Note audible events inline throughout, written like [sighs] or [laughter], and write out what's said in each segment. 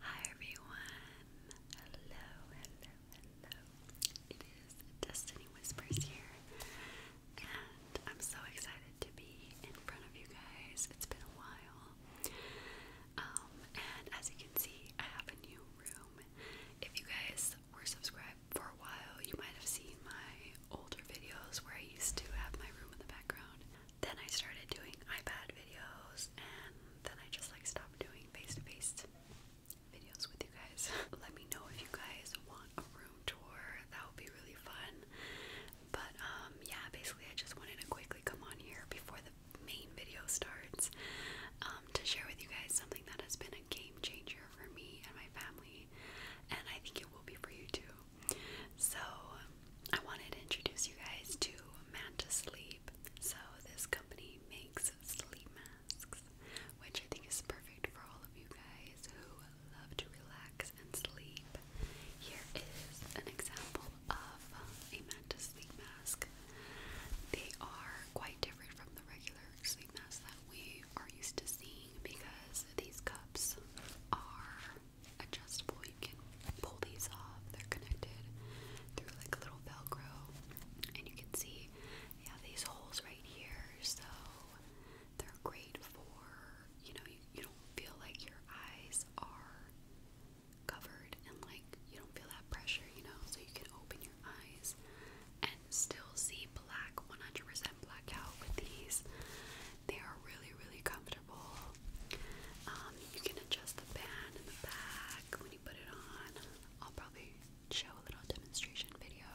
Hi everyone! Hello, hello, hello. It is Destiny Whispers here, and I'm so excited to be in front of you guys. It's been a while. Um, and as you can see, I have a new room. If you guys were subscribed for a while, you might have seen my older videos where I used to have my room in the background. Then I started doing iPad videos, and then I just like stopped doing face to face videos with you guys. [laughs] Let me know if you guys want a room tour, that would be really fun. But um, yeah, basically, I just wanted to quickly come on here before the main video starts um, to share with you guys something that has been a game changer for me and my family, and I think it will be for you too. So, I wanted to introduce you guys to Manta Sleep. So, this company makes sleep masks, which I think is perfect for all of you guys who love to relax and sleep. Here is an example of a Manta Sleep mask. They are quite different from the regular sleep masks that we are used to seeing because these cups are adjustable. You can pull these off. They're connected through like a little Velcro, and you can see yeah these holes right here. So they're great for you know you, you don't feel like your eyes are covered and like you don't feel that pressure. You know, so you can open your eyes and still see black 100% blackout with these. They are really really comfortable. Um, you can adjust the band in the back when you put it on. I'll probably show a little demonstration video.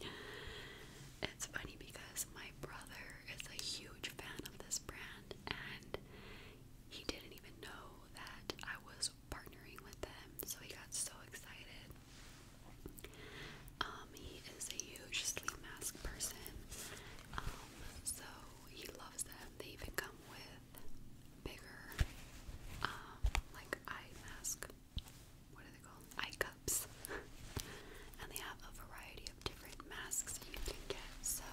[laughs] it's funny because my brother is a huge fan of this brand and he didn't even know that I was partnering with them, so he got so excited. Um, he is a huge sleep mask person, um, so he loves them they even come with bigger, um, like eye mask. What are they called? Eye cups. and they have a variety of different masks you can get. So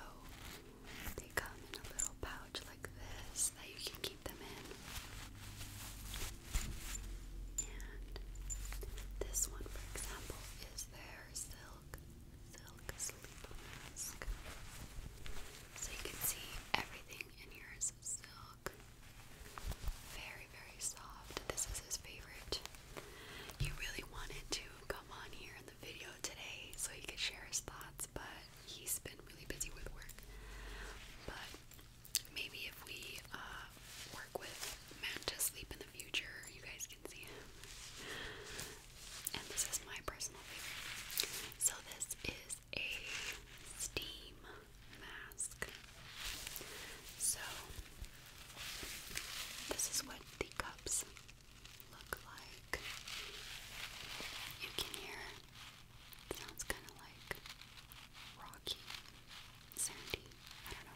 they come in a little pouch like this that you can keep them in. And this one, for example, is their silver silk, silk sleep mask. So you can see everything in here is silk. Very, very soft. This is his favorite. He really wanted to come on here in the video today so he could share his thoughts, but he's been really busy with work. But maybe if we uh, work with Matt to sleep in the future, you guys and this is my personal favorite. So this is a steam mask. So this is what the cups look like. You can hear sounds kind of like rocky, sandy. I don't know.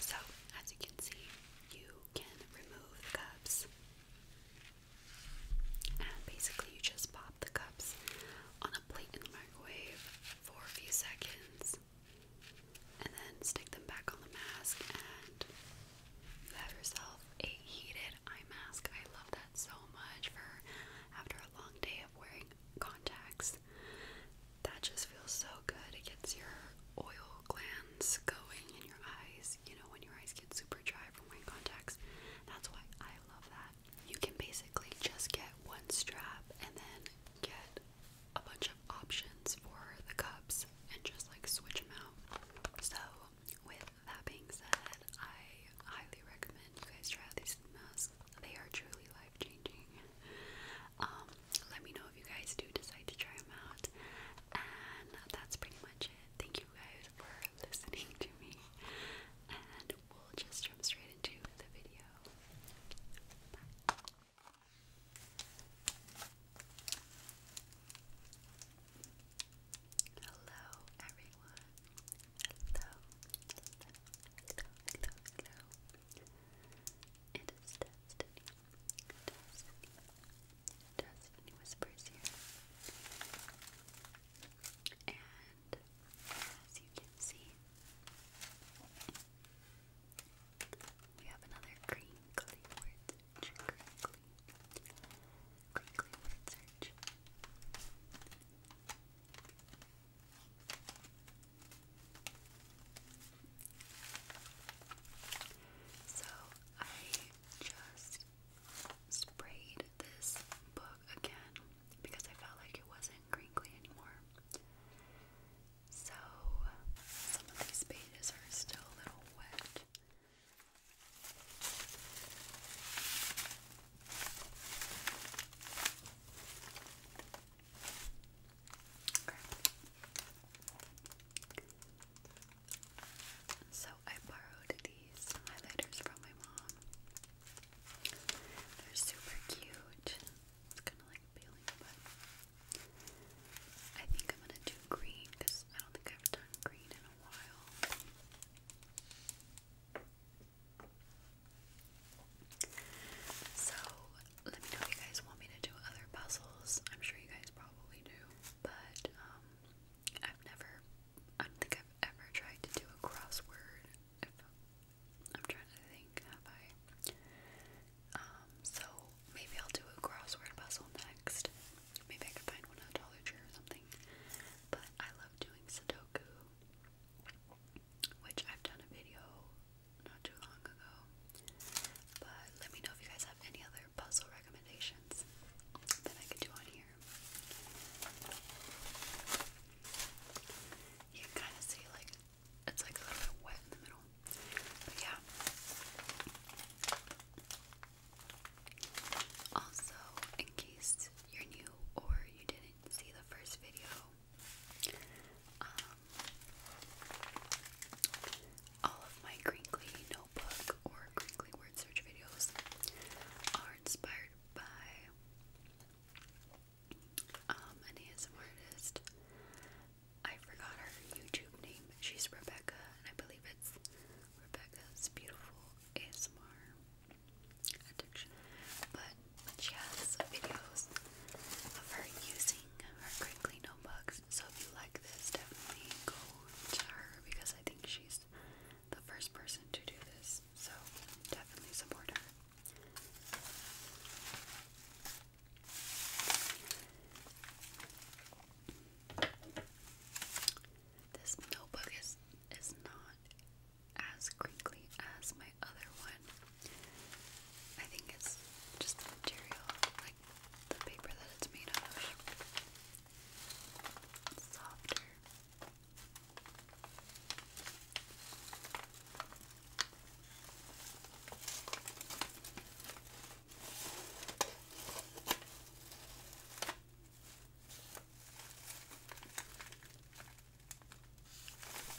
So as you can see, you can remove the cups. And basically, you just pop the cups on a plate in the microwave for a few seconds and then stick them back on the mask, and you have yourself a heated eye mask. I love that so much for after a long day of wearing contacts. That just feels so good. It gets your oil glands going in your eyes you know when your eyes get super dry from wearing contacts, that's why I love that. You can basically just get one strap and then get a bunch of options for the cups and just like switch them out. So, with that being said, I highly recommend you guys try out these masks. They are truly life changing. Um, let me know if you guys do decide to try them out. And that's pretty much it. Thank you guys for listening to me. And we'll just jump straight into the video. Hello, everyone. hello, hello, hello. It is Destiny. Destiny. Destiny whispers here. And as you can see, we have another crinkly word search. Crinkly. Crinkly word search. So I just sprayed this book again because I felt like it wasn't crinkly anymore. So some of these pages are still a little wet. Okay. So I borrowed these highlighters from my mom. They're super cute. It's kind of like peeling, but I think I'm gonna do green because I don't think I've done green in a while. So let me know if you guys want me to do other puzzles. I'm sure you guys probably do, but um, I've never, I don't think I've ever tried to do a crossword. I'm trying to think, have I? Um, so maybe I'll do a crossword puzzle next. Maybe I can find one at Dollar Tree or something. But I love doing Sudoku, which I've done a video not too long ago. But let me know if you guys have any other puzzle recommendations that I could do on here. You can kind of see like it's like a little bit wet in the middle. But yeah. Also, in case you're new or you didn't see the first video, um, all of my crinkly notebook or crinkly word search videos are inspired by um, an ASMR artist. I forgot her YouTube name. She's Rebecca, and I believe it's Rebecca's Beautiful ASMR Addiction. But she has videos of her using her crinkly notebooks. So if you definitely go to her because I think she's the first person to do this. So definitely support her. This notebook is is not as crinkly as my other one. I think it's just the material like the paper that it's made of. It's softer.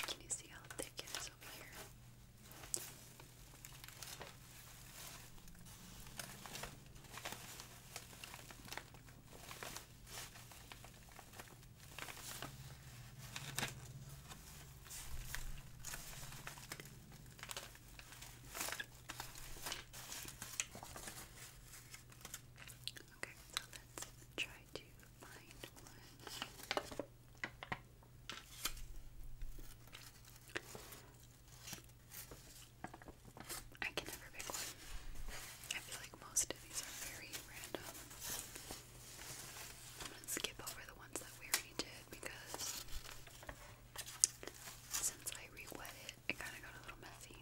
Can you see how thick it is over here? Okay, so let's try to find one. I can never pick one. I feel like most of these are very random. I'm gonna skip over the ones that we already did because since I re it, it kind of got a little messy.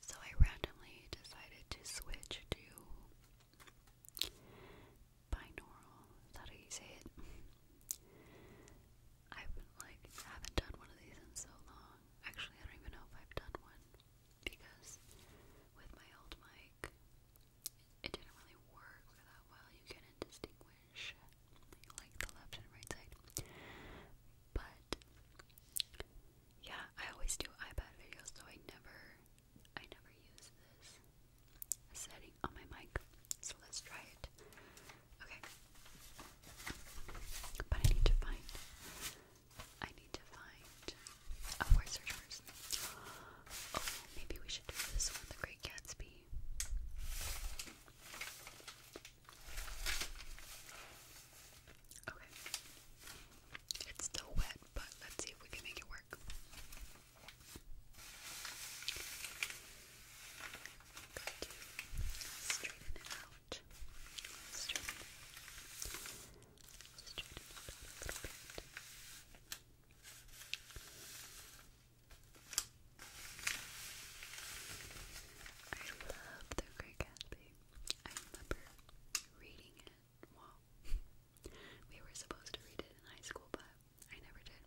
So I randomly decided to switch to binaural. Is that how you say it? I've been, like haven't done one of these in so long. Actually, I don't even know if I've done one because with my old mic, it didn't really work that well. You couldn't distinguish like the left and right side. But yeah, I always do iPad videos, so I never I never use this setting on my mic. So let's try it. Okay. But I need to find I need to find a word search first. Oh, maybe we should do this one, the Great Gatsby. Okay. It's still wet, but let's see if we can make it work. Straighten it out. Straighten it. out a little bit. I love the Great Gatsby. I remember reading it. Well, we were supposed to read it in high school, but I never did.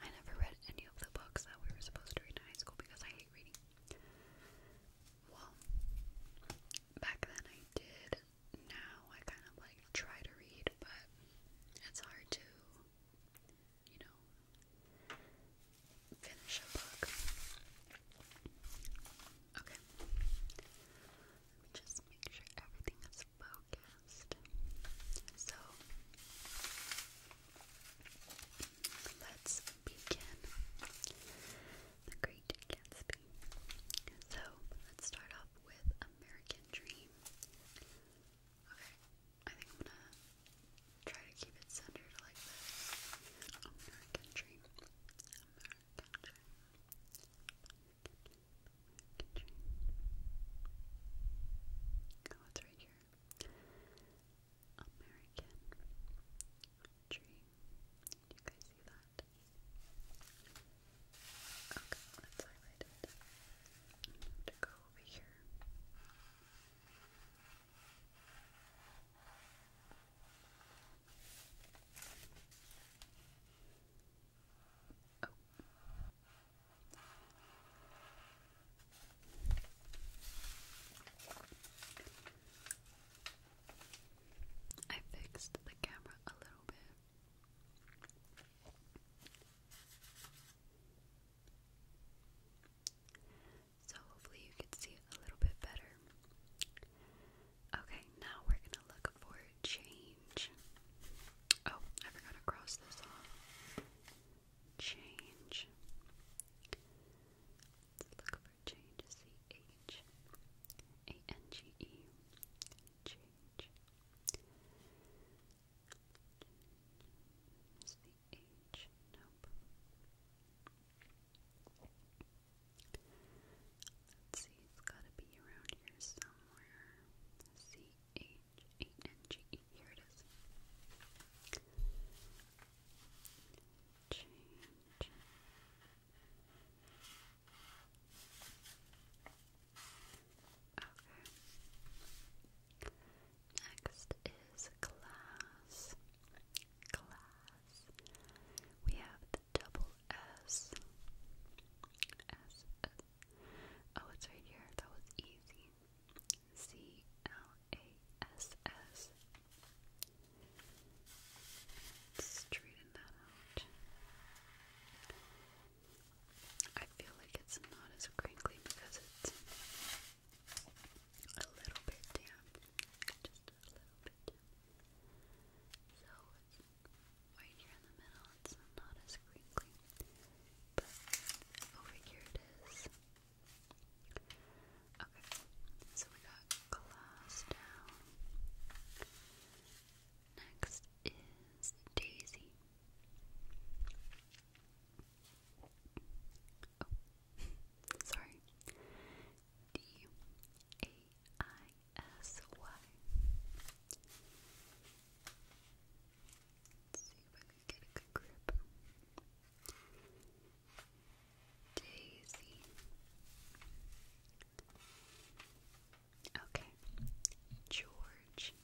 I never read any of the books that we were supposed to read in high school because I hate reading. Well, back then I did. Now I kind of like try to read, but it's hard to, you know, finish a book. Okay. Let me just make sure everything is focused. So let's begin the Great Gatsby. So let's start off with American Dream. Okay, I think I'm gonna try to keep it centered like this. American dream. Oh, it's right here. American dream. you guys see that? Okay, let's highlight it. to go over here. Oh. I fixed the camera a little bit so hopefully you can see it a little bit better. Okay, now we're gonna look for change. Oh, I forgot to cross this off. Change. Let's look for change. C H A N G E. Change. H. Nope. Let's see, it's gotta be around here somewhere. C H A N G E. Here it is. Change. Okay. Next is class class. We have the double S. S, S. Oh, it's right here. That was easy. C L A S S. Straighten that out. I feel like it's not as crinkly because it's a little bit damp, just a little bit So right here in the middle, it's not as crinkly, but over here it is. Okay, so we got glass down. Next is Daisy. Oh, Sorry. D A I S Y. Let's see if I can get a good grip. Daisy. Okay. George.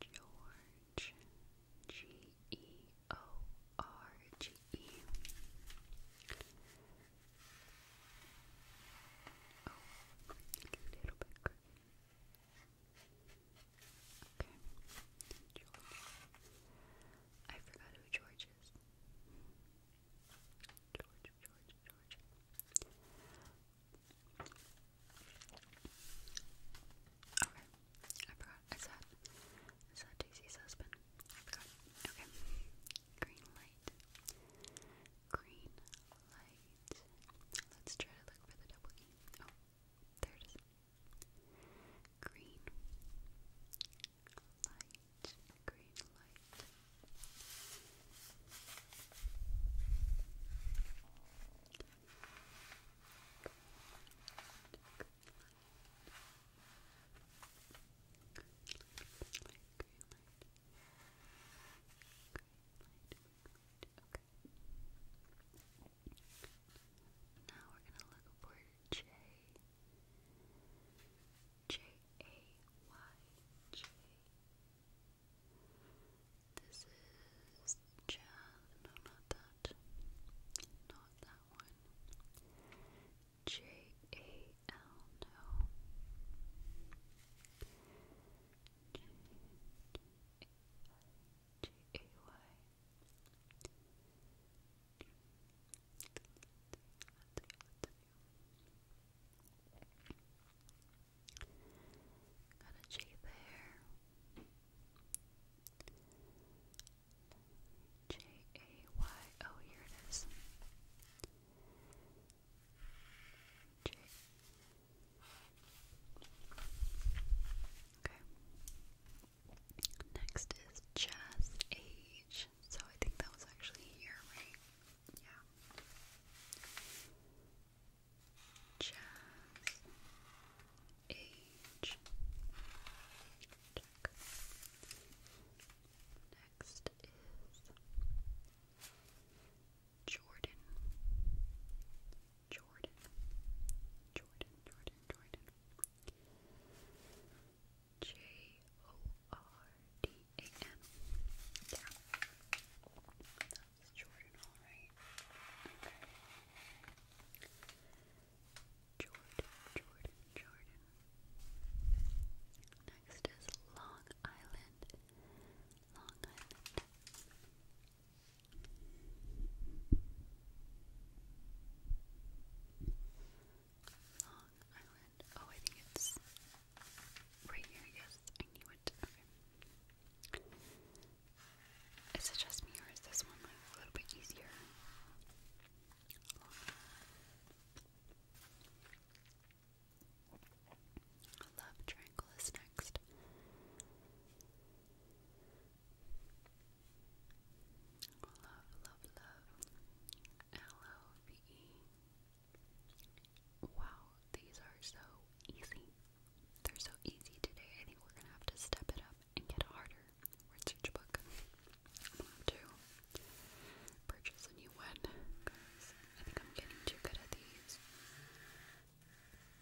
George. G E O R G E. Oh, a little bit. Okay, George. I forgot who George is. George, George, George. Okay, I forgot is that is that Daisy's husband? Okay. Green light. Green light. Let's try to look for the double key. Oh, there Green light. Green light. Now we're gonna look for J. J A Y J. This is is Jan. No, not that. Not that one. J A L. No. J A Y. Got a J there. J A Y. Oh, here it is. Okay. Next is Jazz So I think that was actually here, right? Yeah. Jazz age. Check. Next is Jordan. Jordan. Jordan, Jordan, Jordan. J O R D A N. Yeah. That's Jordan, alright. Okay. Jordan, Jordan, Jordan. Next is Long Island. Long Island. Oh, I think it's right here. Yes, I knew it. Is it just me or is this one a little bit easier? Love Triangle next. Love, love, love. L O V E. Wow, these are so easy. They're so easy today. I think we're gonna have to step it up and get harder research book. I'm gonna have to purchase a new one because I think I'm getting too good at these.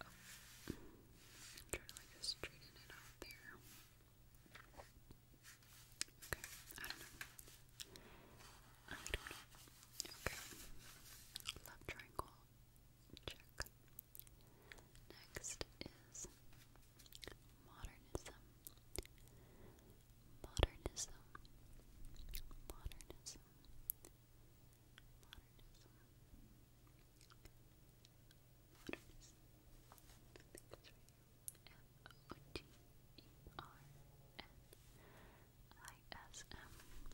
Oh. I'm trying to like just straighten it out there. Okay, I don't know. I don't know. Okay. Love triangle. Check. Next is modernism. Modernism. Modernism. Modernism.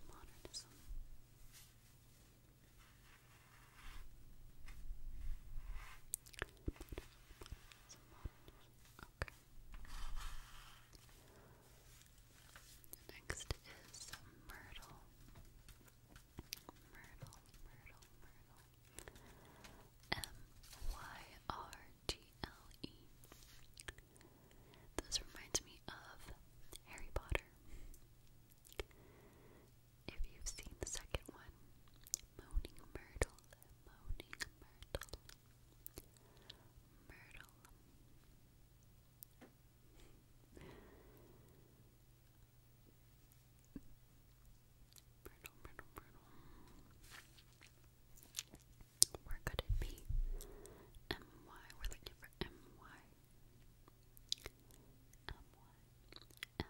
Modernism. Okay. Next is Myrtle. Myrtle, Myrtle, Myrtle. M-Y-R-T-L-E. This reminds me of Harry Potter. If you've seen the second one, Moaning Myrtle, Moaning Myrtle, Myrtle. Myrtle, Myrtle, Where could it be? M-Y, we're looking for M-Y. M-Y, M-Y.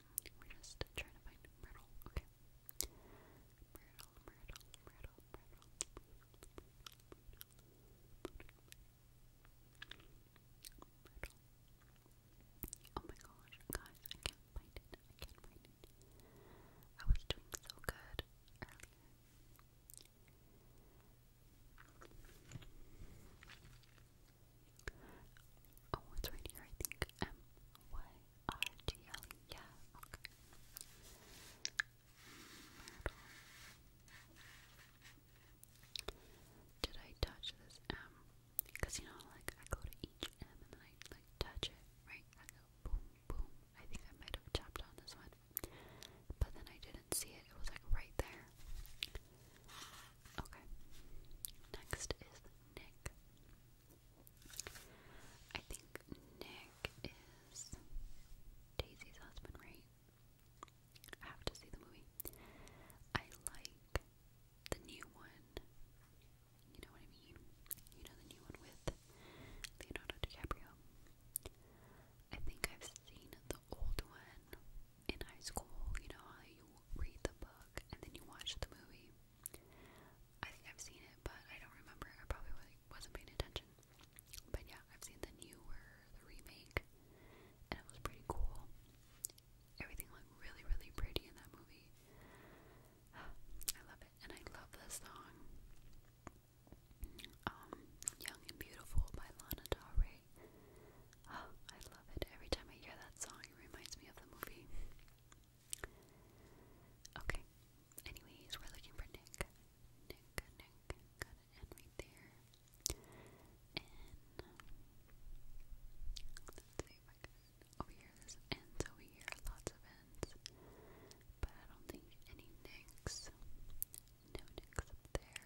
we're just trying to find Myrtle. Okay. Myrtle, Myrtle, Myrtle, Myrtle. Oh my gosh, guys, I can't find it. I can't find it. I was doing so good Oh, it's right here, I think. M Y R G L E. Yeah, okay. Did I touch this M? Because you know, like, I go to each M and then I, like, touch it, right? I go boom, boom. I think I might have tapped on this one. But then I didn't see it, it was like right there. Okay. Next is Nick. I think Nick is Daisy's husband, right? have to see the movie. I like the new one. You know what I mean? You know the new one with Leonardo DiCaprio. I think I've seen the old one in high school, you know how you read the book and then you watch the movie. I think I've seen it, but I don't remember. I probably wasn't paying attention. But yeah, I've seen the newer, the remake, and it was pretty cool. Everything looked really, really pretty in that movie. [sighs] I love it, and I love this song. Um, Young and Beautiful by Lana Del Rey. Oh, [gasps] I love it. Every time I hear that song, it reminds me of the movie. Okay. Anyways, we're looking for Nick. Nick, Nick, got an N right there. Let's see if I Over here, there's N's over here. Lots of N's. But I don't think any Nicks. No Nicks up there.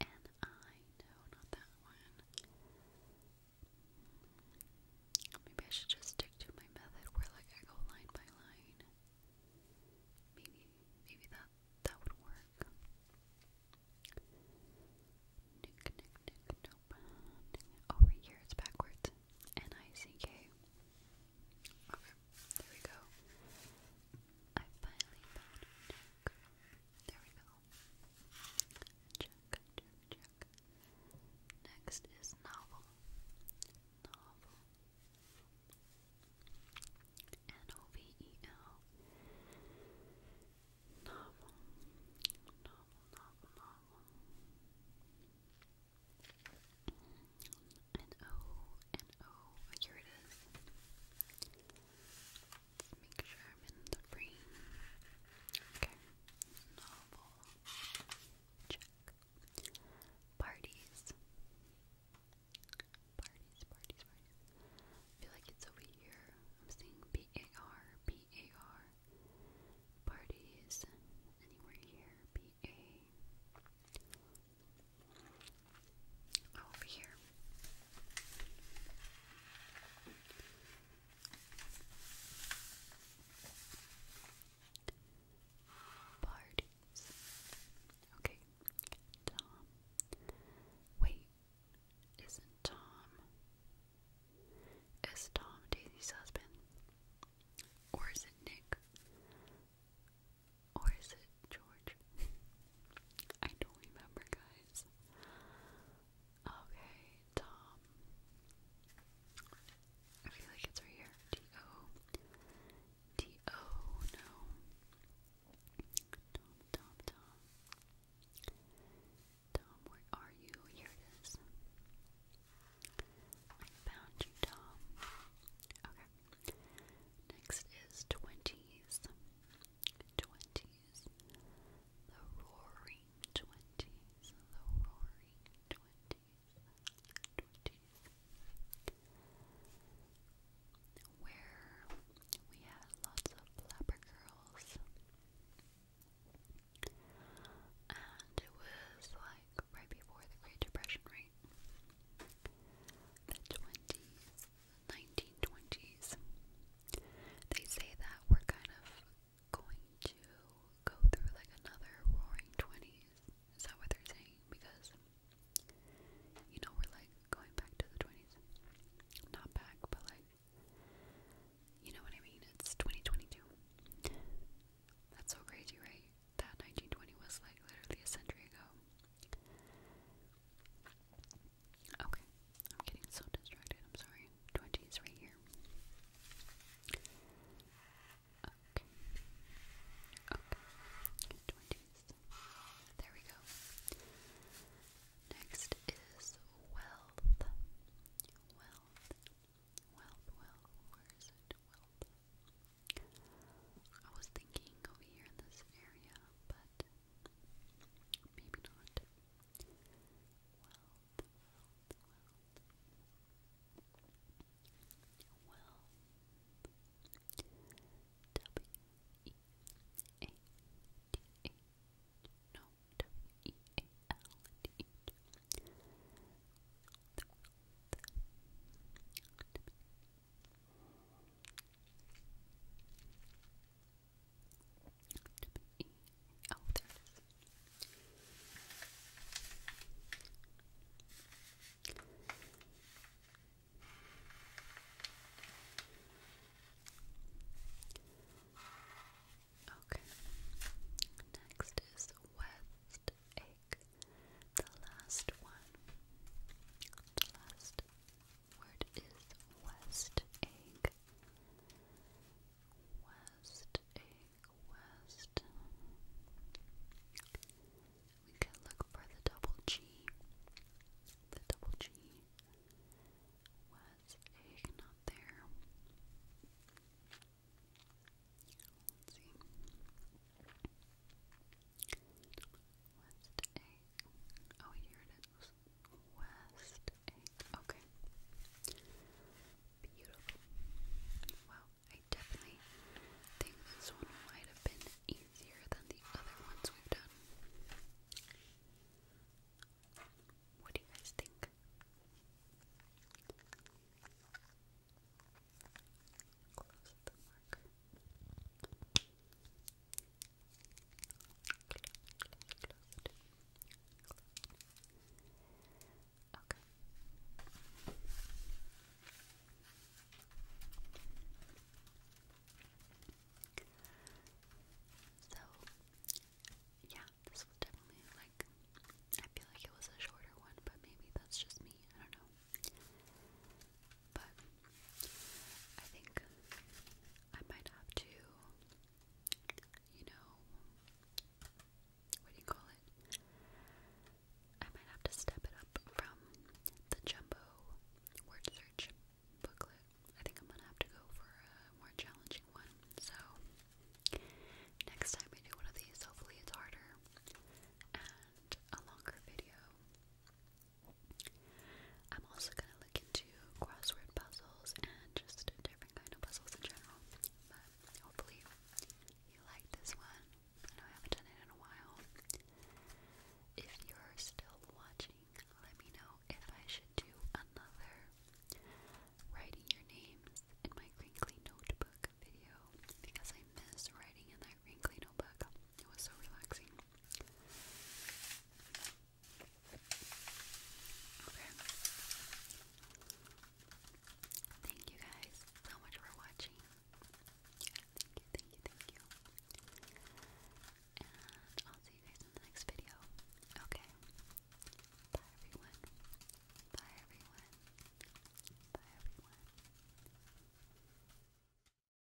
And I know not that one. Maybe I should just stick to my method where like I go line by line. Maybe maybe that that would work. Nick nick nick nope. Oh right here it's backwards. N I C K. Okay, there we go. I finally found There we go. Next is novel. Novel. N-O-V-E-L. Novel. Novel, novel, novel and oh, here it make sure I'm in the frame. Okay, novel. Check. Parties. Parties, parties, parties. I feel like it's over here. I'm seeing B-A-R, B-A-R. Parties. Anywhere here. B-A over here. Parties. Okay, Tom. Wait, isn't Tom? Is Tom Daisy's husband? Or is it Nick? Or is it George? [laughs] I don't remember, guys. Okay, Tom. I feel like it's right here. T O. T O. No. Tom, Tom, Tom. Tom, where are you? Here it is. found you, Tom. Okay. Next is twenties. Twenties. The roaring twenties. The roaring twenties. Twenties. Where we had lots of flapper girls. And it was like right before the Great Depression, right? The 20s, 1920s. They say that we're kind of going to go through like another roaring 20s. Is that what they're saying? Because, you know, we're like going back to the 20s. Not back, but like, you know what I mean? It's 2022. That's so crazy, right? That 1920 was like literally a century ago. Okay, I'm getting so distracted. I'm sorry. 20 is right here. Okay. Okay. 20s. There we go. Next is wealth. Wealth. Wealth, wealth. Wealth. I was thinking over here in this area, but Maybe not. Wealth, wealth, wealth. Well, W E A D H. No, W E A L D H. The wealth. W E. Oh, Okay. Next is West Egg. The last one. The last word is west egg. West egg, west. We can look for the double G. The double G. West egg, not there. Let's see. West Egg. Oh, here it is. West Egg. Okay. Beautiful. Well, I definitely think this one might have been easier than the other ones we've done. What do you guys think? Close the marker. Okay. So, yeah, this was definitely like, I feel like it was a shorter one, but maybe that's just me. I don't know. But I think I might have to, you know, what do you call it? I might have to step it up from the jumbo word search booklet. I think I'm gonna have to go for a more challenging one. So, next time we do one of these, hopefully it's harder and a longer video. I'm also gonna look into crossword puzzles and just different kind of puzzles in general. But hopefully you like this one. I know I haven't done it in a while. If you're still watching, let me know if I should do another writing your names in my crinkly notebook video because I miss writing in that wrinkly notebook. It was so relaxing. Okay. Thank you guys so much for watching. Thank you, thank you, thank you. And I'll see you guys in the next video. Okay. Bye everyone. Bye everyone. Bye everyone.